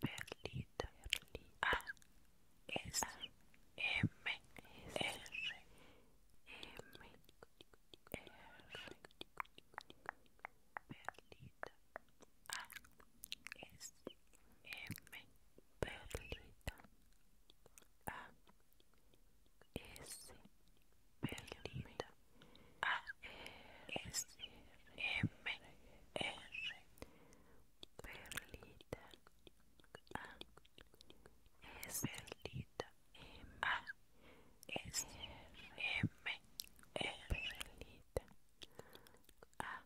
Perlita, Perlita. A S M R M R Perlita A S M Perlita A S Perlita a S M R Perlita A S Perlita M A S M R Perlita A S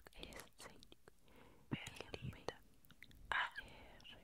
Perlita A R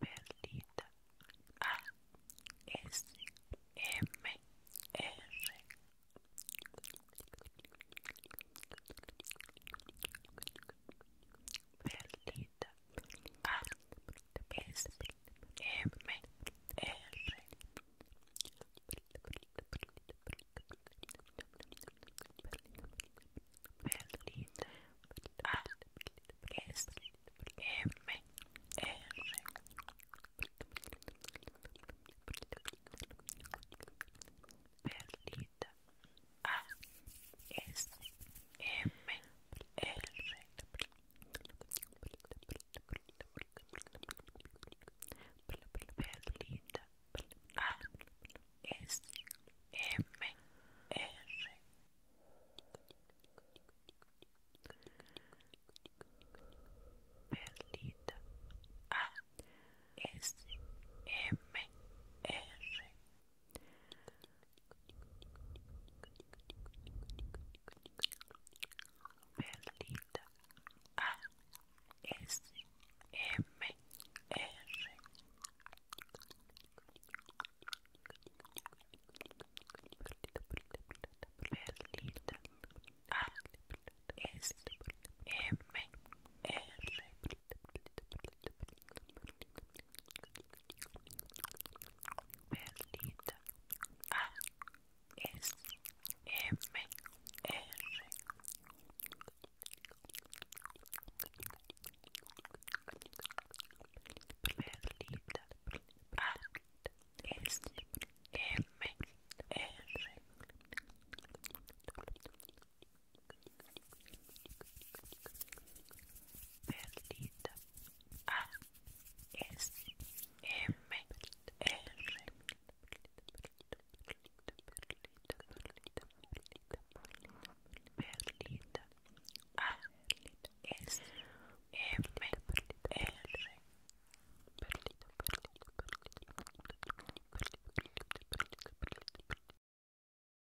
Perlita A S M R Perlita A S M R Berlin A S M R Berlin A S M R Perlita A S M R Berlinda A S M R Berlinda A S M R Perlita A S M R Perlita A S M R Perlita A S M R Perlita A S M R